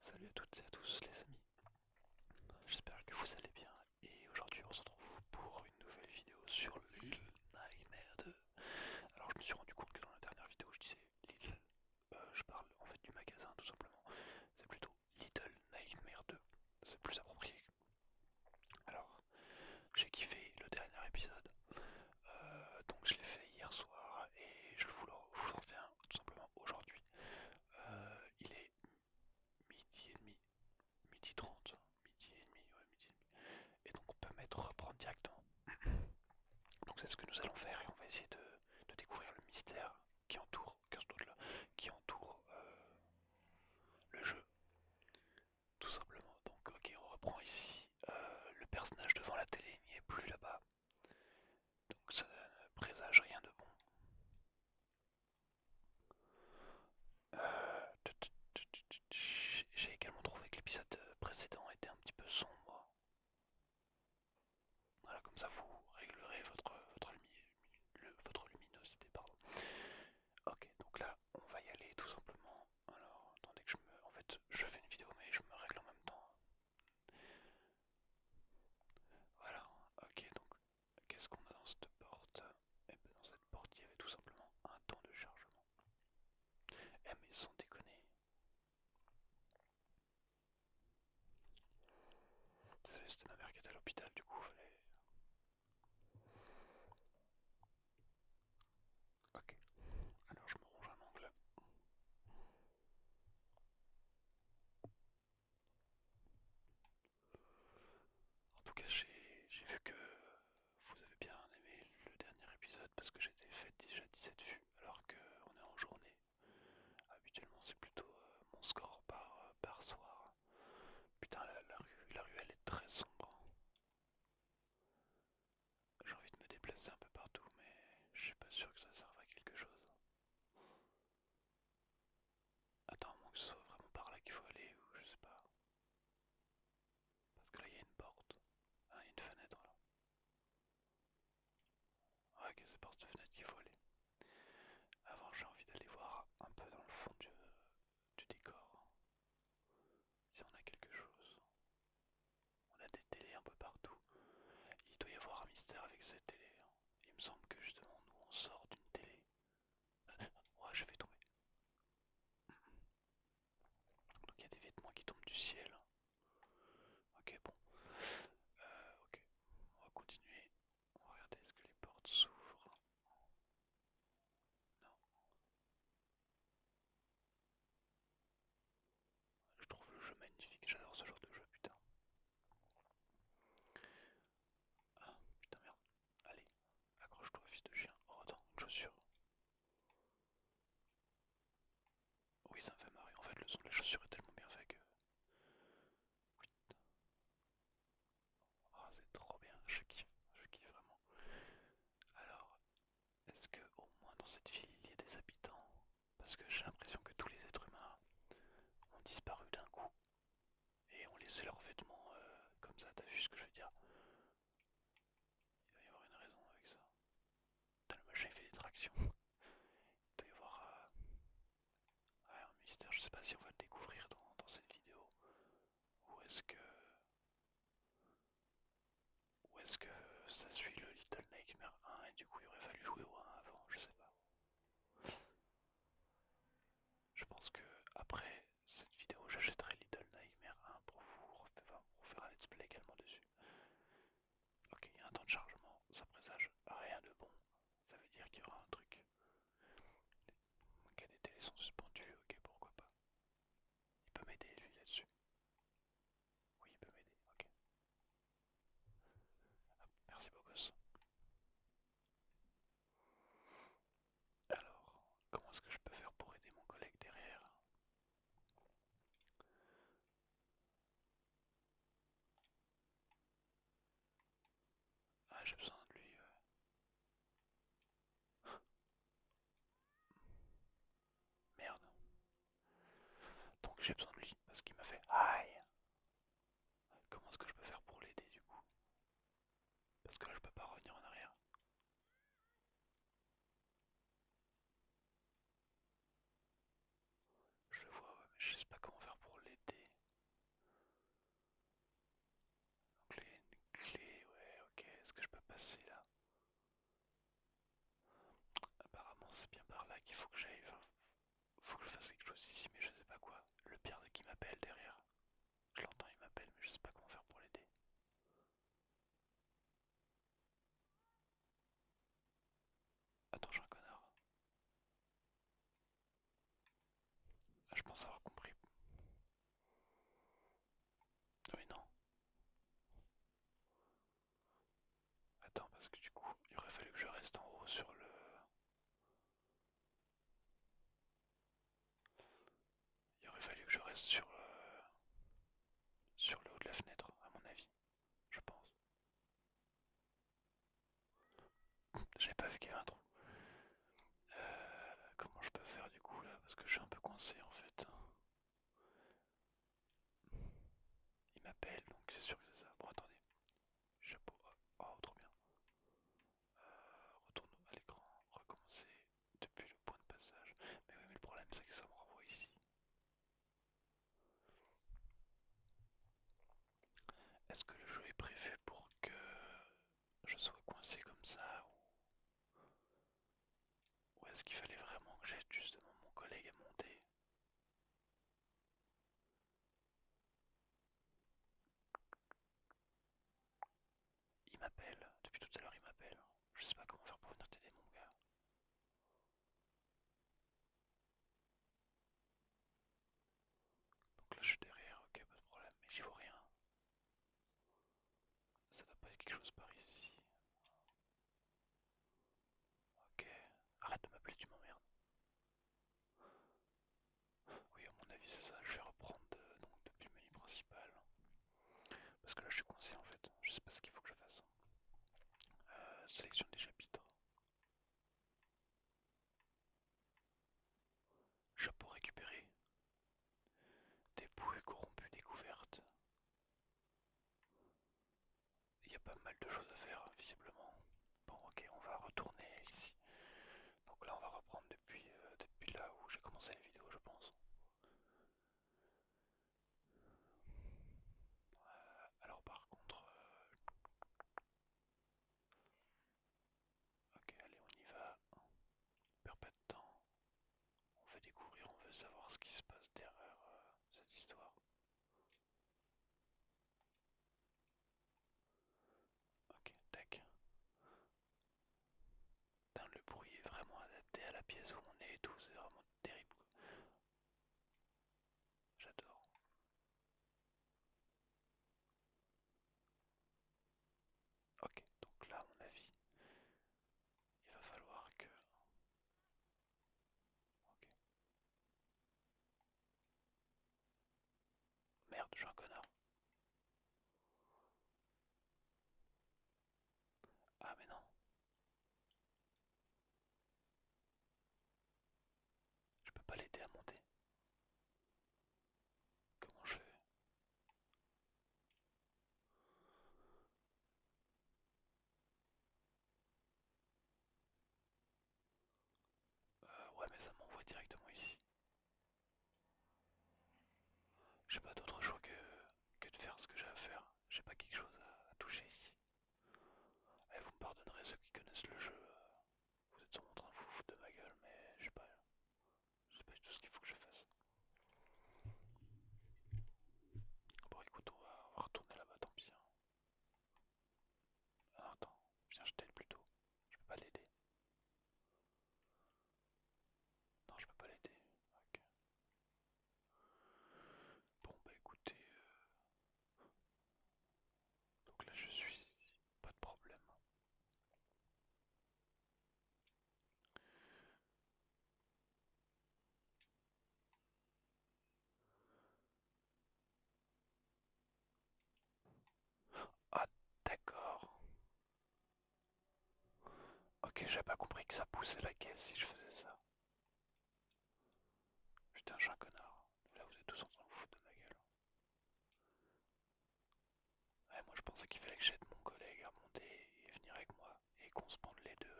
Salut à toutes et à tous les amis, j'espère que vous allez bien et aujourd'hui on se retrouve pour une nouvelle vidéo sur Little Nightmare 2. Alors je me suis rendu compte que dans la dernière vidéo je disais Little euh, je parle en fait du magasin tout simplement, c'est plutôt Little Nightmare 2, c'est plus approprié. Alors j'ai kiffé le dernier épisode, euh, donc je l'ai fait hier soir et je vous le refais hein tout simplement aujourd'hui. Euh, il est midi et demi, midi 30, midi et demi, et donc on peut mettre reprendre directement. donc c'est ce que nous allons faire et on va essayer de, découvrir le mystère qui entoure, qui entoure euh, le jeu. Tout simplement. Donc ok, on reprend ici. Euh, le personnage devant la télé n'y est plus là-bas. Donc ça ne présage rien de bon. Euh, J'ai également trouvé que l'épisode précédent était un petit peu sombre. Voilà, comme ça vous réglerez votre, votre luminosité. Pardon. Ok, donc là on va y aller tout simplement. Alors, attendez que je me... En fait, je fais une vidéo mais je me règle en même temps. Voilà, ok, donc qu'est-ce qu'on a dans cette porte Et eh bien dans cette porte, il y avait tout simplement un temps de chargement. Eh mais sans déconner. Désolé, c'était ma mère qui était à l'hôpital, du coup, fallait... Ok, alors je me ronge un angle. En tout cas, j'ai vu que vous avez bien aimé le dernier épisode parce que j'étais fait déjà 17 vues alors qu'on est en journée. Habituellement, c'est plutôt euh, mon score euh, par, soir. Putain, la, rue, la ruelle est très sombre. J'ai envie de me déplacer un peu partout, mais je suis pas sûr que ça serve à quelque chose. Attends, à moins que ce soit vraiment par là qu'il faut aller, ou je sais pas. Parce que là, il y a une porte. Ah, il y a une fenêtre là. Ah, ok, c'est par cette fenêtre qu'il faut aller. Avant, j'ai envie d'aller voir un peu dans le fond du décor. Si on a quelque chose. On a des télés un peu partout. Il doit y avoir un mystère avec ces télé. Hein. Il me semble que justement nous on sort d'une télé. Ouais je vais trouver. Donc il y a des vêtements qui tombent du ciel. Hein. Ok bon. Euh, ok. On va continuer. On va regarder est-ce que les portes s'ouvrent. Non. Je trouve le jeu magnifique, j'adore ce genre de jeu, putain. Ah, putain, merde. Allez, accroche-toi, fils de chien. Oh, attends, une chaussure. Oui, ça me fait marrer. En fait, le son de la chaussure est tellement bien fait que. Ah, c'est trop bien, je kiffe, je kiffe vraiment. Alors, est-ce que au moins dans cette ville il y a des habitants Parce que j'ai l'impression que tous les êtres humains ont disparu d'un coup et ont laissé leurs vêtements euh, comme ça. T'as vu ce que je veux dire Il doit y avoir une raison avec ça. Putain, le machin fait des tractions. Il doit y avoir euh, un mystère. Je sais pas si on va le découvrir dans cette vidéo ou est-ce que ou est-ce que ça suit le Little Nightmare 1 et du coup il aurait fallu jouer au 1 avant, je sais pas. Je pense que après cette vidéo j'achèterai Little Nightmare 1 pour vous refaire, faire un let's play également dessus. Ok, il y a un temps de chargement, ça présage rien de bon, ça veut dire qu'il y aura un truc. Ok, les télés sont suspendus, ok pourquoi pas. Il peut m'aider lui là-dessus. Oui, il peut m'aider, ok. Merci beaucoup. Alors, comment est-ce que je peux faire pour aider mon collègue derrière Ah j'ai besoin de lui. Merde. Donc j'ai besoin de lui parce qu'il m'a fait aïe. Comment est-ce que je peux faire pour l'aider du coup Parce que là je peux pas revenir en arrière. Je le vois, je sais pas comment faire pour l'aider. Donc une clé, ouais ok, est-ce que je peux passer là Apparemment c'est bien par là qu'il faut que j'aille. Il faut que je fasse quelque chose ici mais je sais pas quoi. Le pire de qui m'appelle derrière. Je l'entends, il m'appelle mais je sais pas comment faire pour l'aider. Attends, suis un connard. Ah, je pense avoir compris. Oui, non. Attends, parce que du coup, il aurait fallu que je reste en haut sur le... Il aurait fallu que je reste sur le... sur le haut de la fenêtre, à mon avis, je pense. J'ai pas vu qu'il y avait un trou. Euh, comment je peux faire du coup là Parce que je suis un peu coincé en fait. Il m'appelle, donc c'est sûr que c'est ça. Bon, attendez. Chapeau. Oh, oh, trop bien. Euh, retourne à l'écran. Recommencer depuis le point de passage. Mais oui, mais le problème, c'est que ça me renvoie ici. Est-ce que le jeu est prévu pour que je sois coincé comme ça ou, ou est-ce qu'il fallait vraiment que j'aide justement mon collègue à monter il m'appelle, depuis tout à l'heure il m'appelle. Je sais pas comment faire pour venir t'aider mon gars. Donc là je suis derrière, ok pas de problème, mais j'y vois rien. Ça doit pas être quelque chose par ici. Ok, arrête de m'appeler, tu m'emmerdes. Oui, à mon avis, c'est ça. Je vais reprendre euh, donc depuis le menu principal. Parce que là, je suis coincé en fait. Je sais pas ce qu'il faut que je fasse. Euh, sélection des chapitres. Chapeau récupéré. Des bouées corrompues découvertes. Il y a pas mal de choses à faire, hein, visiblement. Bon, ok, on va retourner ici. Donc là, on va reprendre depuis, euh, depuis là où j'ai commencé la vidéo, je pense. Euh, alors, par contre... Euh, ok, allez, on y va. On perd pas de temps on veut découvrir, on veut savoir ce qui se passe derrière euh, cette histoire. Ok, tac. le bruit est vraiment adapté à la pièce où on est et tout, c'est vraiment terrible. J'adore. Ok, donc là, à mon avis, il va falloir que Ok. Merde, je suis un connard. Ah mais non. Je peux pas l'aider à monter. Comment je fais euh, ouais, mais ça m'envoie directement ici. J'ai pas d'autre choix que, que de faire ce que j'ai à faire. J'ai pas quelque chose à, toucher ici. vous me pardonnerez ceux qui connaissent le jeu. Euh, vous êtes sur en train de vous foutre de ma gueule, mais je sais pas. Je pas tout ce qu'il faut que je fasse. Bon écoute, on va, retourner là-bas, tant bien. Hein. Ah, attends, viens je t'aide plutôt. Je peux pas l'aider. Non, je peux pas l'aider. Bon bah écoutez. Euh, donc là je suis ici, pas de problème. Ah d'accord. Ok, j'avais pas compris que ça poussait la caisse si je faisais ça. Putain, un un connard. Là, vous êtes tous en train de vous foutre de ma gueule. Ouais, moi je pensais qu'il fallait que j'aide mon collègue à monter et venir avec moi et qu'on se pende les deux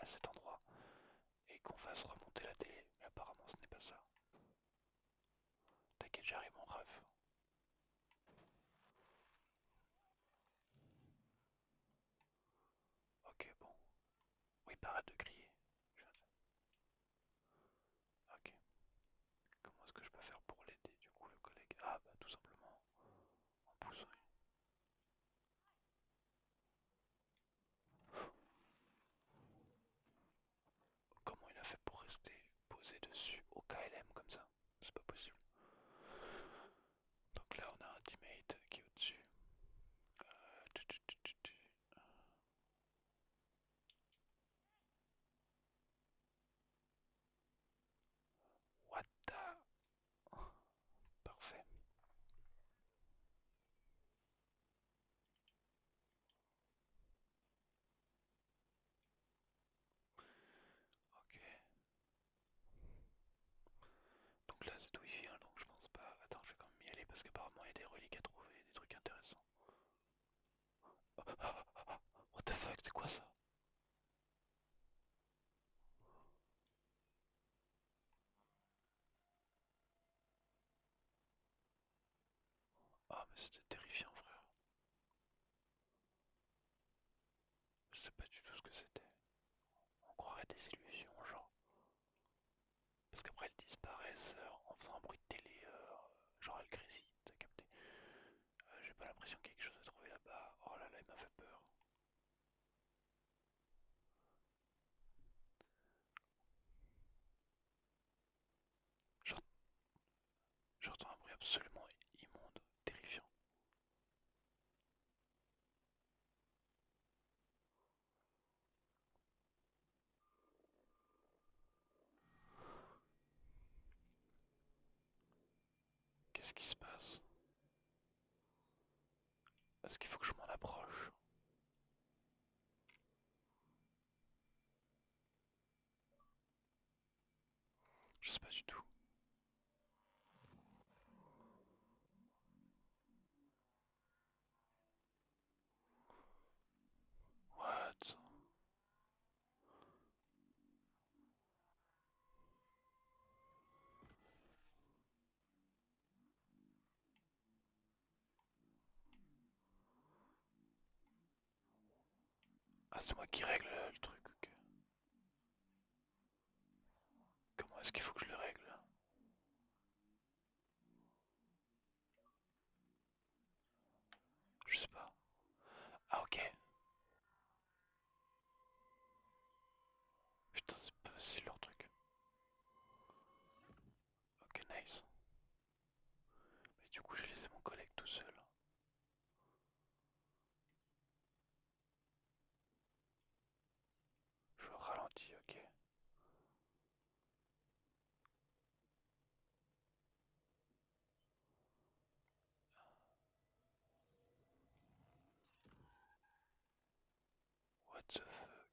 à, cet endroit et qu'on fasse remonter la télé, mais apparemment ce n'est pas ça. T'inquiète, j'arrive mon ref. Ok, bon. Oui, arrête de crier. Ok. Comment est-ce que je peux faire pour l'aider du coup le collègue Ah bah tout simplement en poussant Comment il a fait pour rester posé dessus au KLM comme ça C'est pas possible. Donc là on a un teammate qui est au-dessus. Euh, What the Parfait. Ok. Donc là c'est d'où il vient, donc je pense pas... Attends, je vais quand même y aller parce qu'apparemment il y a des reliques à trouver, des trucs intéressants. what the fuck, c'est quoi ça ah mais c'était terrifiant frère. Je sais pas du tout ce que c'était. On croirait des illusions genre. Parce qu'après elles disparaissent euh, en faisant un bruit de télé, euh, Genre genre elles grésillent, t'as capté. Euh, j'ai pas l'impression qu'il y a quelque chose à trouver là-bas. Oh là là, il m'a fait peur. J'entends un bruit absolument immonde, terrifiant. Qu'est-ce qui se passe est-ce qu'il faut que je m'en approche Je sais pas du tout. What ah c'est moi qui règle le truc, Comment est-ce qu'il faut que je le règle Je sais pas. Ah ok. Putain, c'est pas facile leur truc. Ok, nice. Mais du coup, j'ai laissé mon collègue tout seul. Je ralentis, ok. What the fuck?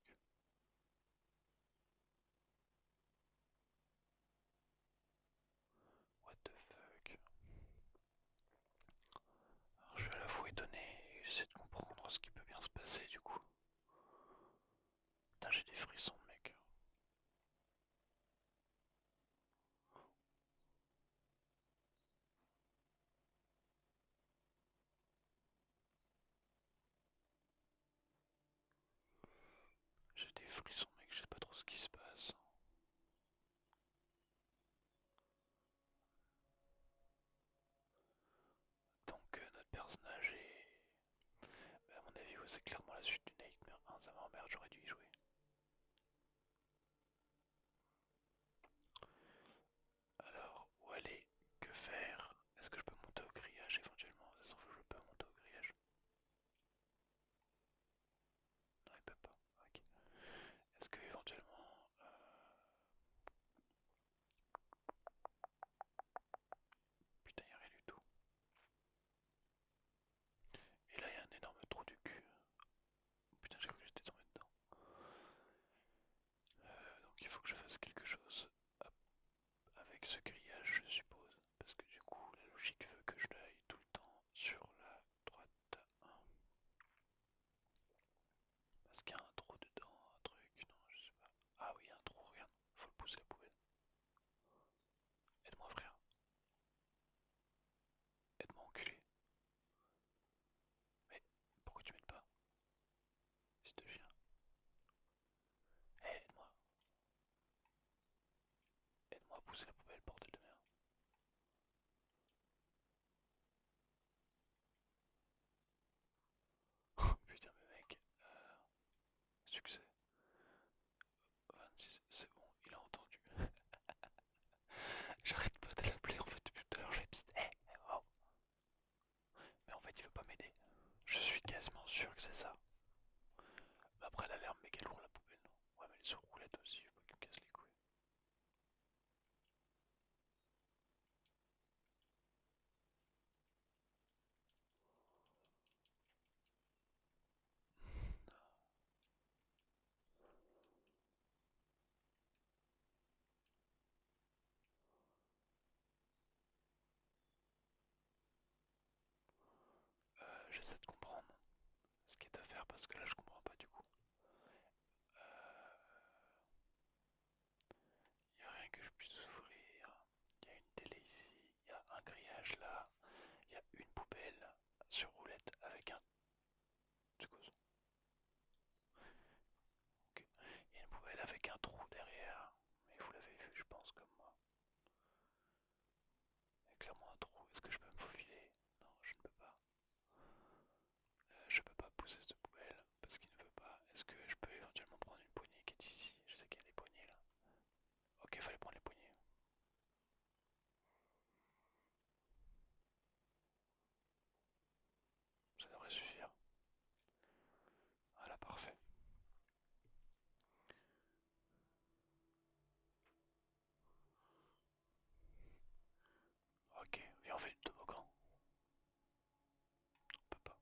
What the fuck? je suis à la fois étonné et j'essaie de comprendre ce qui peut bien se passer du coup. Putain, j'ai des frissons, mec. J'ai des frissons mec, je sais pas trop ce qui se passe. Donc notre personnage est... Bah, à mon avis c'est clairement la suite du Nightmare 1, ça m'emmerde, j'aurais dû y jouer. Alors, où aller Que faire Est-ce que je peux monter au grillage éventuellement Sauf que je peux monter au grillage. Non, il peut pas. Ok. Est-ce que éventuellement. Euh, putain, il n'y a rien du tout. Et là, il y a un énorme trou du cul. Putain, j'ai cru que j'étais tombé dedans. Euh, donc il faut que je fasse quelque chose avec ce grillage, je suppose, parce que du coup la logique veut que je l'aille tout le temps sur la droite. Parce qu'il y a un trou dedans, un truc, non, je sais pas. Ah oui, un trou, regarde, faut le pousser à la poubelle. Aide-moi, frère. Aide-moi, enculé. Mais pourquoi tu m'aides pas C'est de chien. aide-moi. Aide-moi à pousser la poubelle, bordel de merde. putain, mais mec, euh, succès. c'est bon, il a entendu. J'arrête pas de l'appeler en fait depuis tout à l'heure, je vais eh, eh, oh. Mais en fait il veut pas m'aider. Je suis quasiment sûr que c'est ça. Après l'alarme qu'elle lourd la poubelle non. Ouais mais les sur roulette aussi, je veux qu'il me casse les couilles. Euh, j'essaie de comprendre ce qui est à faire parce que là je comprends pas du coup. Il euh, n'y a rien que je puisse ouvrir. Il y a une télé ici, il y a un grillage là, il y a une poubelle sur roulette avec un... Il y a une poubelle avec un trou derrière, mais vous l'avez vu, je pense, comme moi. Il y a clairement un trou. Est-ce que je peux me faufiler Non, je ne peux pas. Je euh, je peux pas pousser cette poubelle parce qu'il ne veut pas. Est-ce que je peux éventuellement prendre une poignée qui est ici Je sais qu'il y a des poignées là. Ok, il fallait prendre les poignées. Ça devrait suffire. Voilà, parfait. Ok, viens on fait du toboggan. On peut pas.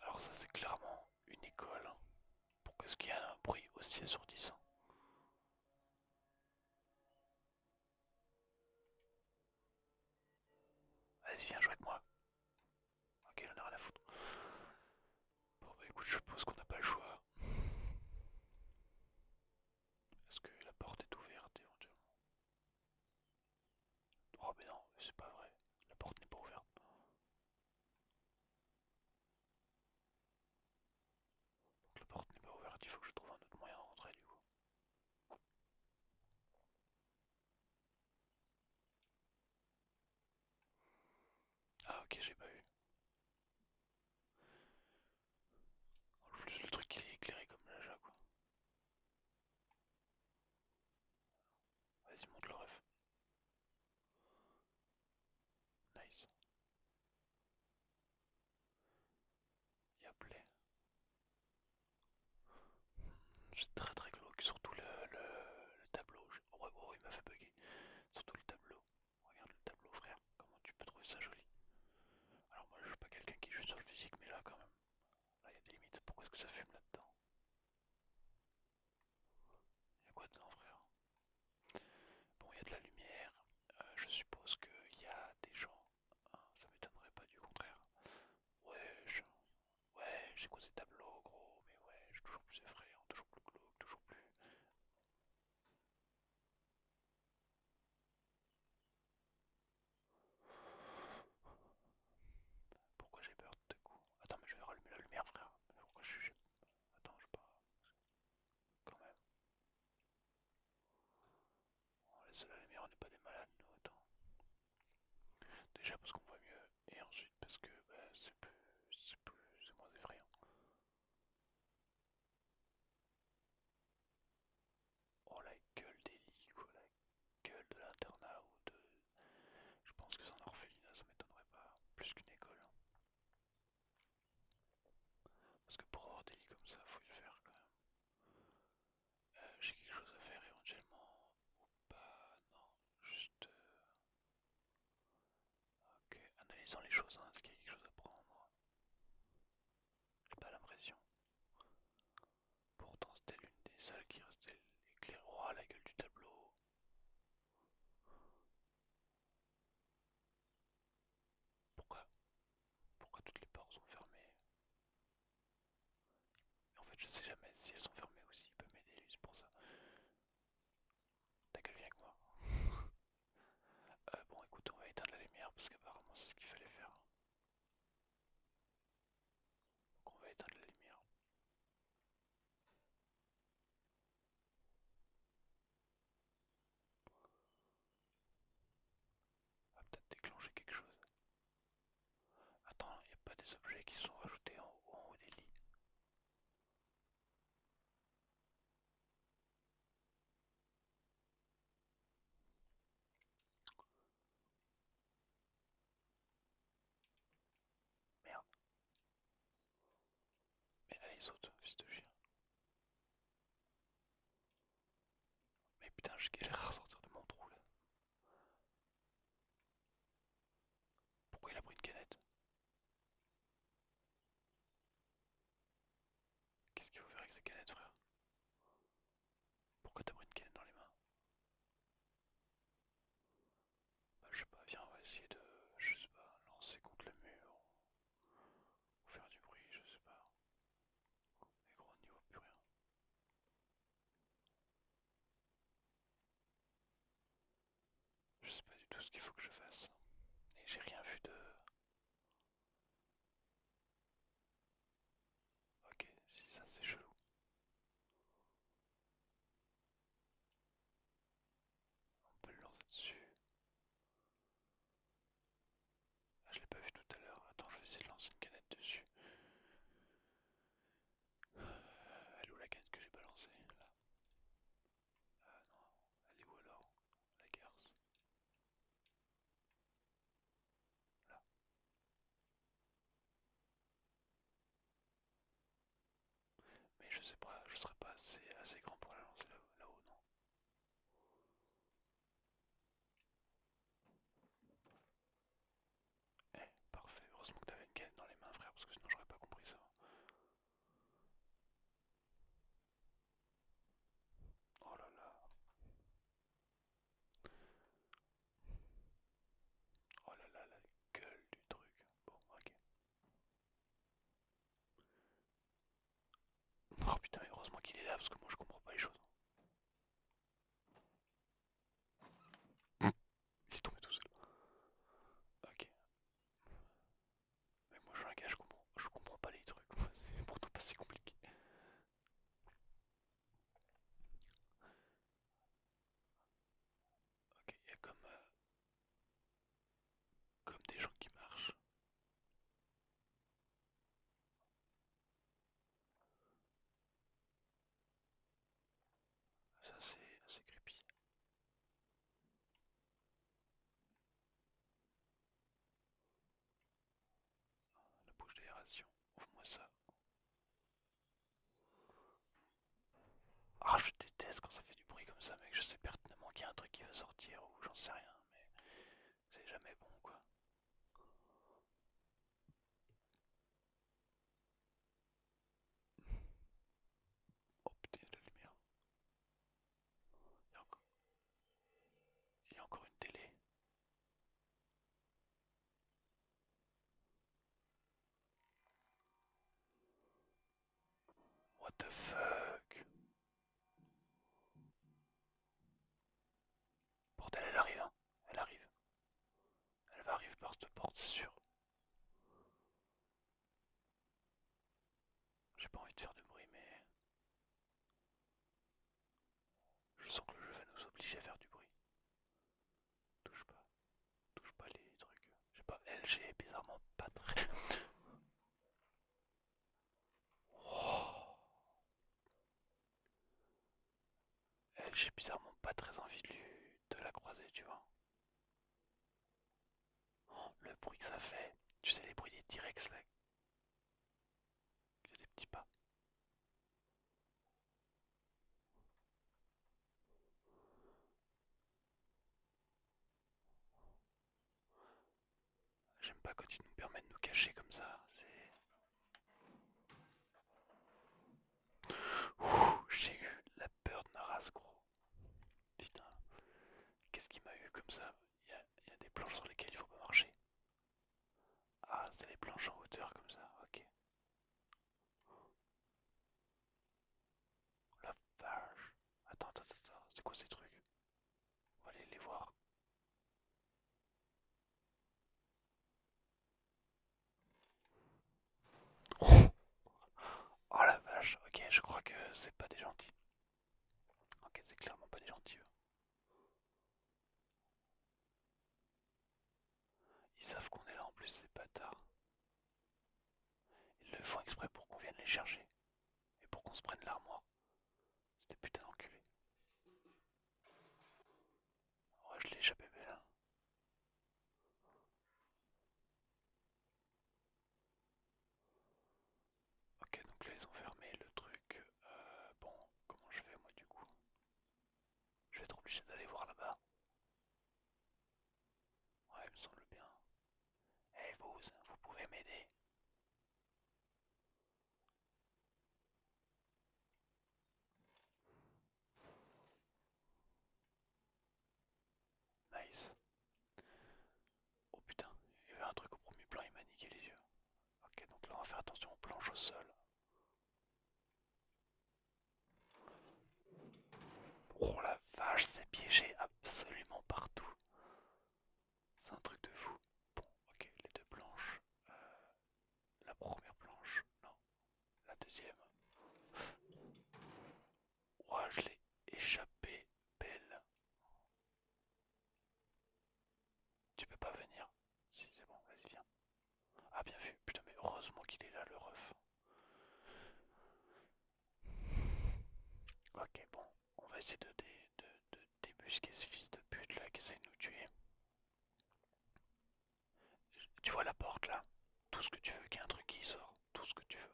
Alors ça c'est clairement une école. Pourquoi est-ce qu'il y a un bruit aussi assourdissant Vas-y, viens jouer avec moi. Ok, on en a rien à foutre. Bon bah écoute, je pense qu'on n'a pas le choix. Est-ce que la porte est ouverte éventuellement Oh mais non, c'est pas vrai. La porte n'est pas ouverte la porte n'est pas ouverte, il faut que je trouve un autre moyen de rentrer du coup. Ah ok j'ai pas vu. En plus le truc qui est éclairé comme là quoi. Vas-y monte le ref. Nice. Il y a plein C'est très très glauque, surtout le, tableau. Oh, oh, il m'a fait bugger. Surtout le tableau. Regarde le tableau, frère. Comment tu peux trouver ça joli Alors, moi, je suis pas quelqu'un qui joue sur le physique, mais là, quand même. Là, il y a des limites. Pourquoi est-ce que ça fume là-dedans Il y a quoi dedans, frère Bon, il y a de la lumière. Euh, je suppose qu'il y a des gens, ah, ça m'étonnerait pas du contraire. Ouais, je... ouais, j'ai quoi ces tableaux, gros, mais ouais, je suis toujours plus effrayant, toujours plus glauque, toujours plus. Pourquoi j'ai peur de coup Attends, mais je vais rallumer la lumière, frère. Pourquoi je Attends, je pas quand même. On oh, laisse la lumière, on n'est pas des malades, nous, autant. Déjà parce qu'on voit mieux, et ensuite parce que bah, c'est plus, plus, c'est moins effrayant. Oh la gueule des la gueule de l'internat ou de... Je pense que c'est un orphelinat, ça m'étonnerait pas, plus qu'une école. Hein. Parce que pour avoir des lits comme ça, faut le faire quand même. Euh, j'ai quelque chose à faire éventuellement ou pas Non, juste. Euh, ok, analysons les choses, hein, est-ce qu'il y a quelque chose à prendre J'ai pas l'impression. Pourtant, c'était l'une des salles qui restait éclairée. à la gueule du tableau pourquoi Pourquoi toutes les portes sont fermées En fait, je sais jamais si elles sont fermées aussi Il peut m'aider lui, c'est pour ça. Ta gueule, viens avec moi. Euh, bon, écoute, on va éteindre la lumière parce qu'apparemment c'est ce qu'il fallait faire. Donc on va éteindre la lumière. On peut-être déclencher quelque chose. Attends, il n'y a pas des objets qui sont rajoutés en, haut des lits. Merde. Mais allez, saute, fils de chien. Mais putain, je galère ressortir de mon trou là. Pourquoi il a pris une canette Qu'est-ce qu'il faut faire avec ces canettes, frère Pourquoi t'as pris une canette dans les mains bah, je sais pas, viens, on va essayer de. Je pas, lancer contre le mur faire du bruit, je sais pas. Mais gros niveaux plus rien. Je sais pas du tout ce qu'il faut que je fasse. Et j'ai rien vu de... Ok, si ça c'est chelou. On peut le lancer dessus. Ah, je l'ai pas vu tout à l'heure. Attends, je vais essayer de lancer une canette dessus. Euh, elle est où la canette que j'ai pas Là. Ah non, elle est où alors La garce. Là. Mais je sais pas, je serais pas assez, assez grand pour la lancer là-haut, non eh, parfait, heureusement que t'avais une gueule dans les mains frère, parce que sinon j'aurais pas compris ça. Oh là là. Oh là là, la gueule du truc. Bon, ok. Oh putain, heureusement qu'il est là parce que moi je comprends pas les choses. Il est tombé tout seul. Ok. Mais moi je suis un gars, je comprends, comprends pas les trucs. C'est pourtant pas si compliqué. Ok, il y a comme, euh, comme des gens qui marchent. Ça c'est assez creepy. La bouche d'aération, ouvre-moi ça. Ah, je déteste quand ça fait du bruit comme ça mec, je sais pertinemment qu'il y a un truc qui va sortir ou j'en sais rien mais c'est jamais bon quoi. Oh putain, lumière. Il y a, Il y a encore une télé. What the fuck Porte elle arrive, hein. Elle arrive. Elle va arriver par cette porte, sur J'ai pas envie de faire de bruit, mais... Je sens que le jeu va nous obliger à faire du bruit. Touche pas. Touche pas les trucs. J'ai pas... LG, bizarrement, pas très... Oh. Elle, eh, j'ai bizarrement pas très envie de, la croiser, tu vois. Oh, le bruit que ça fait, tu sais les bruits des t là. des petits pas. J'aime pas quand ils nous permettent de nous cacher comme ça. Ouh, j'ai eu la peur de ma race, gros. Putain, qu'est-ce qu'il m'a eu comme ça Il y, a des planches sur lesquelles il faut pas marcher. Ah, c'est les planches en hauteur comme ça, ok. La vache. Attends, attends, attends, c'est quoi ces trucs on va aller les voir. Oh, oh, la vache, ok, je crois que c'est pas des gentils. Ok, c'est clairement pas des gentils. Ils savent qu'on est là en plus, pas tard. Ils le font exprès pour qu'on vienne les chercher et pour qu'on se prenne l'armoire c'était putain putains je l'ai échappé mais Ok, donc là ils ont fermé le truc. Euh, bon, comment je fais moi du coup Je vais être obligé d'aller voir là-bas. Ouais, il me semble bien. hey, eh, vous, vous pouvez m'aider Nice. Oh putain, il y avait un truc au premier plan, il m'a niqué les yeux. Ok, donc là on va faire attention, aux planche au sol. Oh la vache, c'est piégé absolument partout. C'est un truc de fou. Bon, ok, les deux blanches. Euh, la première planche, non. La deuxième. Ouah, je l'ai échappé, belle. Tu peux pas venir Si, c'est bon, vas-y, viens. Ah, bien vu. Putain, mais heureusement qu'il est là, le ref. Ok, bon, on va essayer de, de, débusquer ce fils de pute là qui essaie de nous tuer. Tu vois la porte là Tout ce que tu veux, qu'il y ait un truc qui sort, tout ce que tu veux.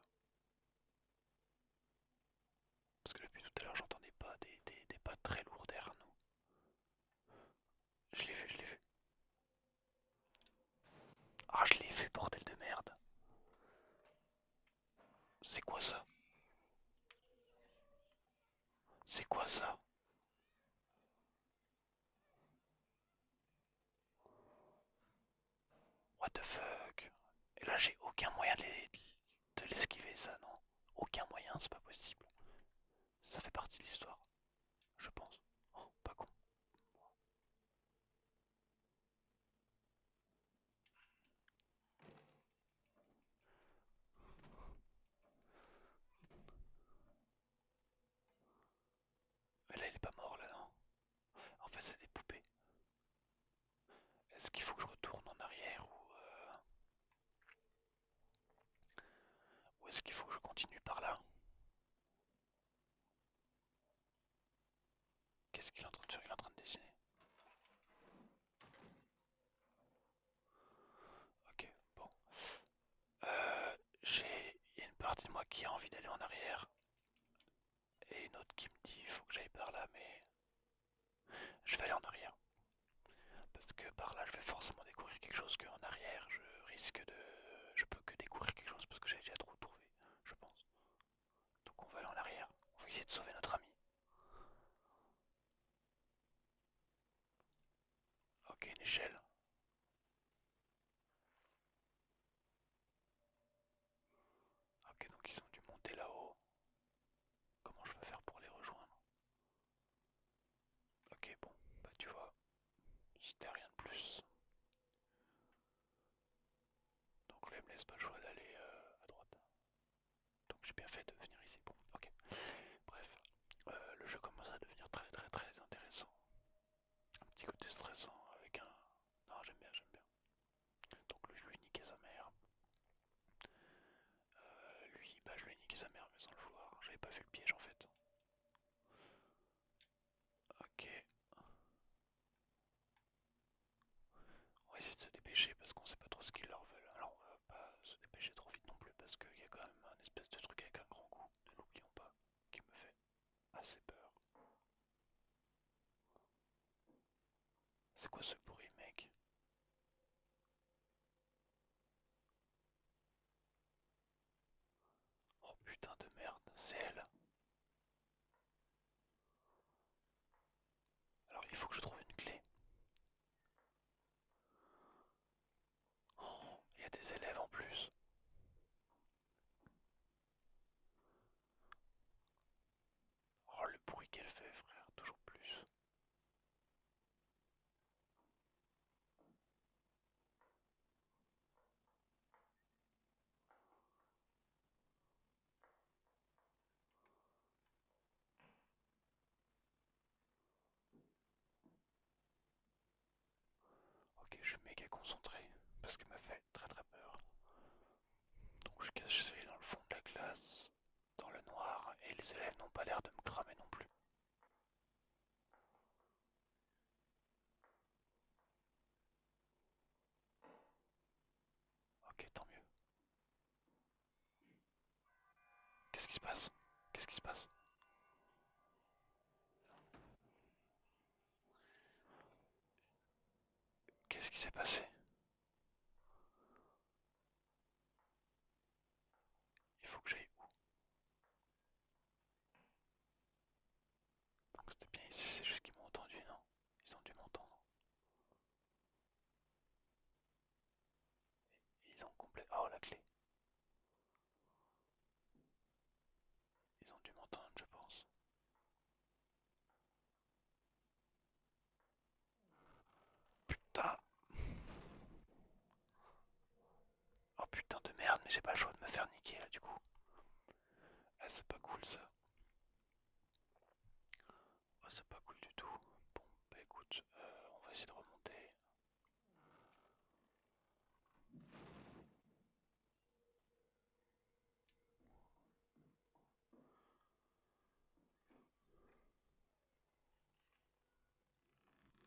Parce que depuis tout à l'heure j'entendais pas des, des, des pas très lourds derrière nous. Je l'ai vu, je l'ai vu. Ah je l'ai vu, bordel de merde. C'est quoi ça C'est quoi ça What the fuck Et là j'ai aucun moyen de l'esquiver ça, non Aucun moyen, c'est pas possible. Ça fait partie de l'histoire, je pense. Oh, pas con mais là il est pas mort là non En fait c'est des poupées. Est-ce qu'il faut que je retourne en arrière ou... Euh, ou est-ce qu'il faut que je continue par là Qu'est-ce qu'il est en train de faire Il est en train de dessiner. Ok, bon. Euh, J'ai une partie de moi qui a envie d'aller en arrière. Et une autre qui me dit faut que j'aille par là, mais je vais aller en arrière. Parce que par là, je vais forcément découvrir quelque chose qu'en arrière, je risque de... Je peux que découvrir quelque chose parce que j'ai déjà trop trouvé, je pense. Donc on va aller en arrière. On va essayer de sauver notre ami. Ok, une échelle. Ok, donc ils ont dû monter là-haut. Comment je peux faire pour les rejoindre Ok, bon, bah tu vois, c'était rien de plus. Donc là, il me laisse pas le choix d'aller à droite. Donc j'ai bien fait de venir ici. Bon, ok. Bref, euh, le jeu commence à devenir très très très intéressant. Un petit côté stressant avec un... Non, j'aime bien, j'aime bien. Donc lui, je lui ai niqué sa mère. Euh, lui, bah je lui ai niqué sa mère, mais sans le vouloir. J'avais pas vu le piège en fait. Ok. On va essayer de se dépêcher parce qu'on sait pas trop ce qu'ils leur veulent. Alors on va pas se dépêcher trop vite non plus parce qu'il y a quand même un espèce de truc avec un grand goût, ne l'oublions pas, qui me fait assez peur. C'est quoi ce bruit mec Oh putain de merde, c'est elle alors il faut que je trouve une clé. Oh, il y a des élèves en plus. Oh, le bruit qu'elle fait, frère, toujours plus. Ok, je suis méga concentré parce qu'il me fait très très peur. Donc je suis caché dans le fond de la classe, dans le noir, et les élèves n'ont pas l'air de me cramer non plus. Ok, tant mieux. Qu'est-ce qui se passe Qu'est-ce qui se passe Qu'est-ce qui s'est passé Il faut que j'aille où Donc c'était bien ici, c'est juste qu'ils m'ont entendu, non Ils ont dû m'entendre. Ils ont complet. Oh la clé. Ils ont dû m'entendre, je pense. Putain. Oh putain de merde, mais j'ai pas le choix de me faire niquer là du coup. Ah, c'est pas cool ça. Ah, c'est pas cool du tout. Bon, bah écoute, euh, on va essayer de remonter.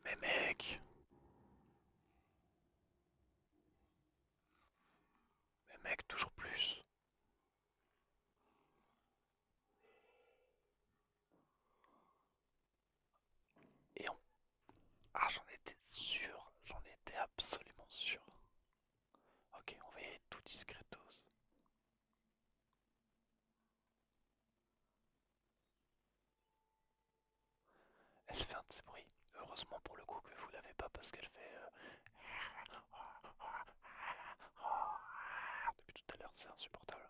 Mais mec Mais mec, toujours plus et on... Ah, j'en étais sûr, j'en étais absolument sûr. Ok, on va y aller tout discretos. Elle fait un petit bruit. Heureusement pour le coup que vous l'avez pas parce qu'elle fait... Euh, depuis tout à l'heure, c'est insupportable.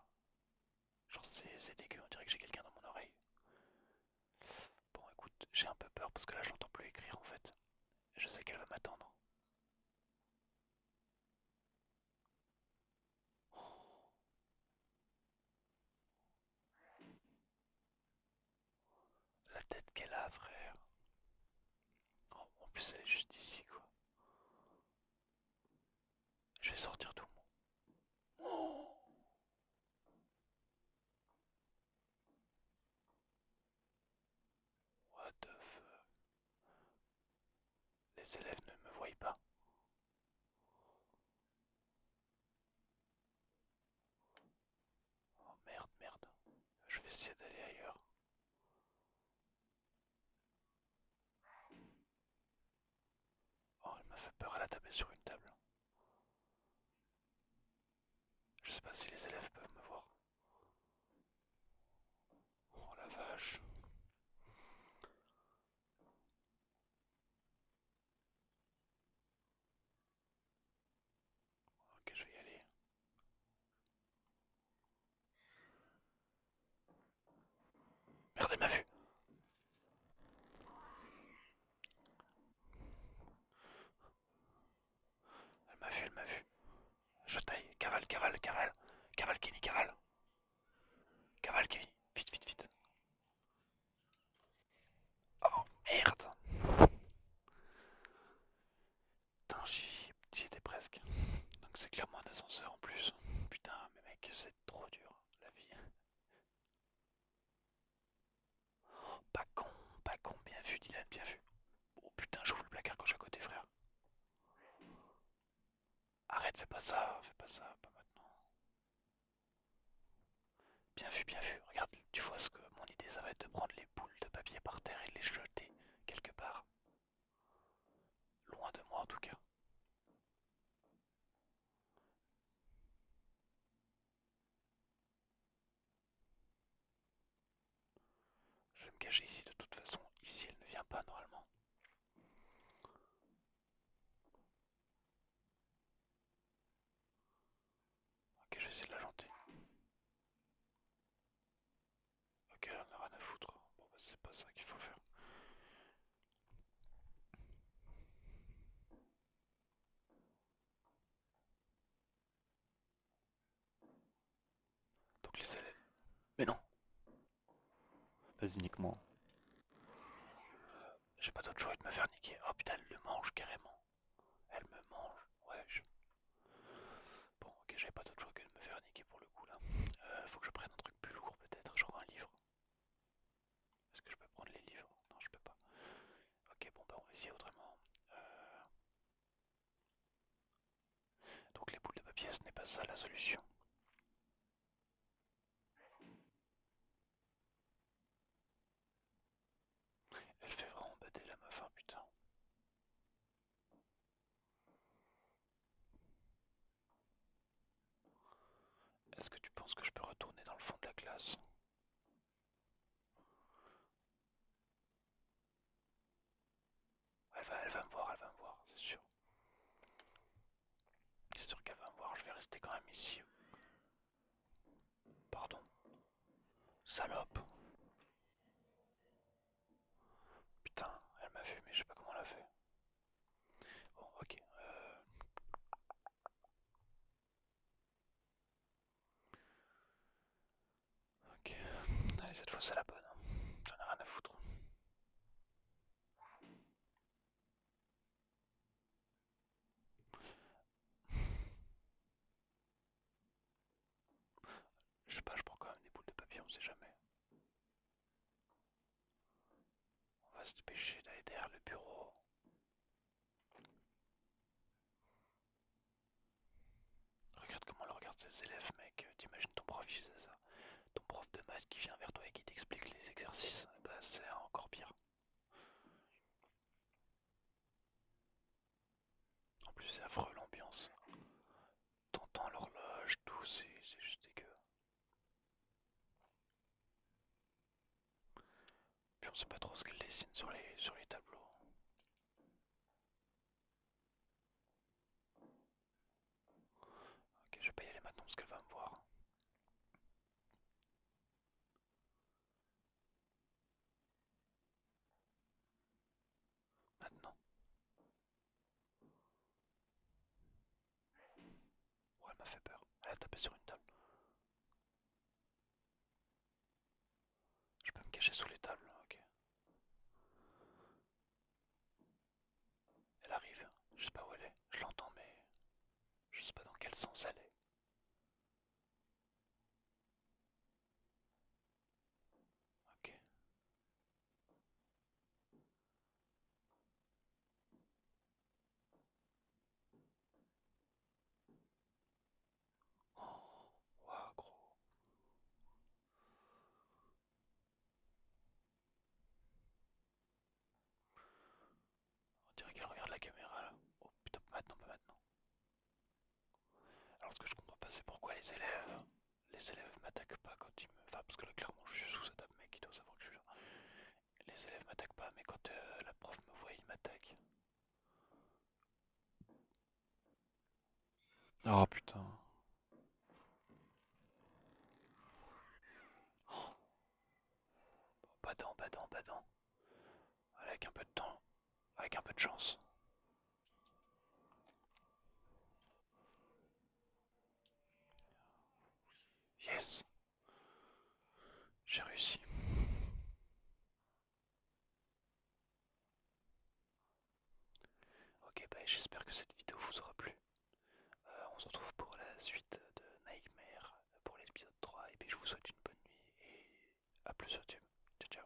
Genre, c'est dégueu, on dirait que j'ai quelqu'un dans mon oreille. Bon, écoute, j'ai un peu peur parce que là, je n'entends plus écrire en fait. Je sais qu'elle va m'attendre. La tête qu'elle a, frère. Oh, en plus elle est juste ici quoi. Je vais sortir tout le monde. Oh What the fuck Les élèves ne me voient pas. Oh merde, merde. Je vais essayer d'aller ailleurs. Oh, elle m'a fait peur, elle a tapé sur une table. Je sais pas si les élèves peuvent me voir. Oh la vache. Ok, je vais y aller. Merde, elle m'a vu. Elle m'a vu, elle m'a vu. Je taille. Cavale, cavale, cavale. Cavale, Kenny, cavale. Cavale, Kenny. Vite, vite, vite. Oh, merde. Putain, j'y étais presque. Donc c'est clairement un ascenseur en plus. Putain, mais mec, c'est trop dur, la vie. pas con, pas con, bien vu, Dylan, bien vu. Oh putain, j'ouvre le placard gauche à côté, frère. Arrête, fais pas ça, fais pas ça, pas maintenant. Bien vu, bien vu. Regarde, tu vois ce que mon idée, ça va être de prendre les boules de papier par terre et de les jeter quelque part. Loin de moi en tout cas. Je vais me cacher ici de toute façon. Ici elle ne vient pas normalement. Ok, je vais essayer de la janter. Ok, là on a rien à foutre. Bon, bah, c'est pas ça qu'il faut faire. Donc les élèves. Mais non Pas uniquement. J'ai pas d'autre choix que de me faire niquer. Oh putain, elle le mange carrément. Elle me mange. Ouais, Bon, ok, j'avais pas d'autre choix que de me faire niquer pour le coup là. Euh, faut que je prenne un truc plus lourd peut-être, genre un livre. Est-ce que je peux prendre les livres Non, je peux pas. Ok, bon, bah on va autrement. Euh. Donc les boules de papier, ce n'est pas ça la solution. Elle fait vraiment bader la meuf, hein, putain. Est-ce que tu penses que je peux retourner dans le fond de la classe elle va, elle va me voir, elle va me voir, c'est sûr. C'est sûr qu'elle va me voir, je vais rester quand même ici. Pardon. Salope. Putain, elle m'a vu, mais je sais pas comment elle a fait. Bon, ok. Euh. Ok, allez, cette fois c'est la bonne. Hein. J'en ai rien à foutre. Je sais pas, je prends quand même des boules de papier, on sait jamais. On va se dépêcher d'aller derrière le bureau. Regarde comment le regarde ses élèves, mec. T'imagines ton prof qui faisait ça. Ton prof de maths qui vient vers toi et qui t'explique les exercices. Bah, c'est encore pire. En plus, c'est affreux l'ambiance. T'entends l'horloge, tout, c'est juste dégueu. Puis on sait pas trop ce qu'elle dessine sur les, sur les tableaux. Ok, je vais pas y aller maintenant parce qu'elle va me voir maintenant. Ouais, elle m'a fait peur. Elle a tapé sur une table. Je peux me cacher sous les tables, ok. Elle arrive, je sais pas où elle est, je l'entends mais je sais pas dans quel sens elle est. Ok. Oh, wow, gros. On dirait qu'elle regarde la caméra là. Oh putain, maintenant, pas maintenant. Alors ce que je comprends pas c'est pourquoi les élèves les élèves m'attaquent pas quand ils me. Enfin parce que là clairement je suis sous cette table mec il doit savoir que je suis là. Les élèves m'attaquent pas mais quand euh, la prof me voit ils m'attaquent. Oh putain. Oh. Bon, pas Avec un peu de temps, avec un peu de chance. Yes. J'ai réussi. Ok, bah j'espère que cette vidéo vous aura plu. Euh, on se retrouve pour la suite de Nightmare pour l'épisode 3 et puis je vous souhaite une bonne nuit et à plus sur YouTube. Ciao ciao.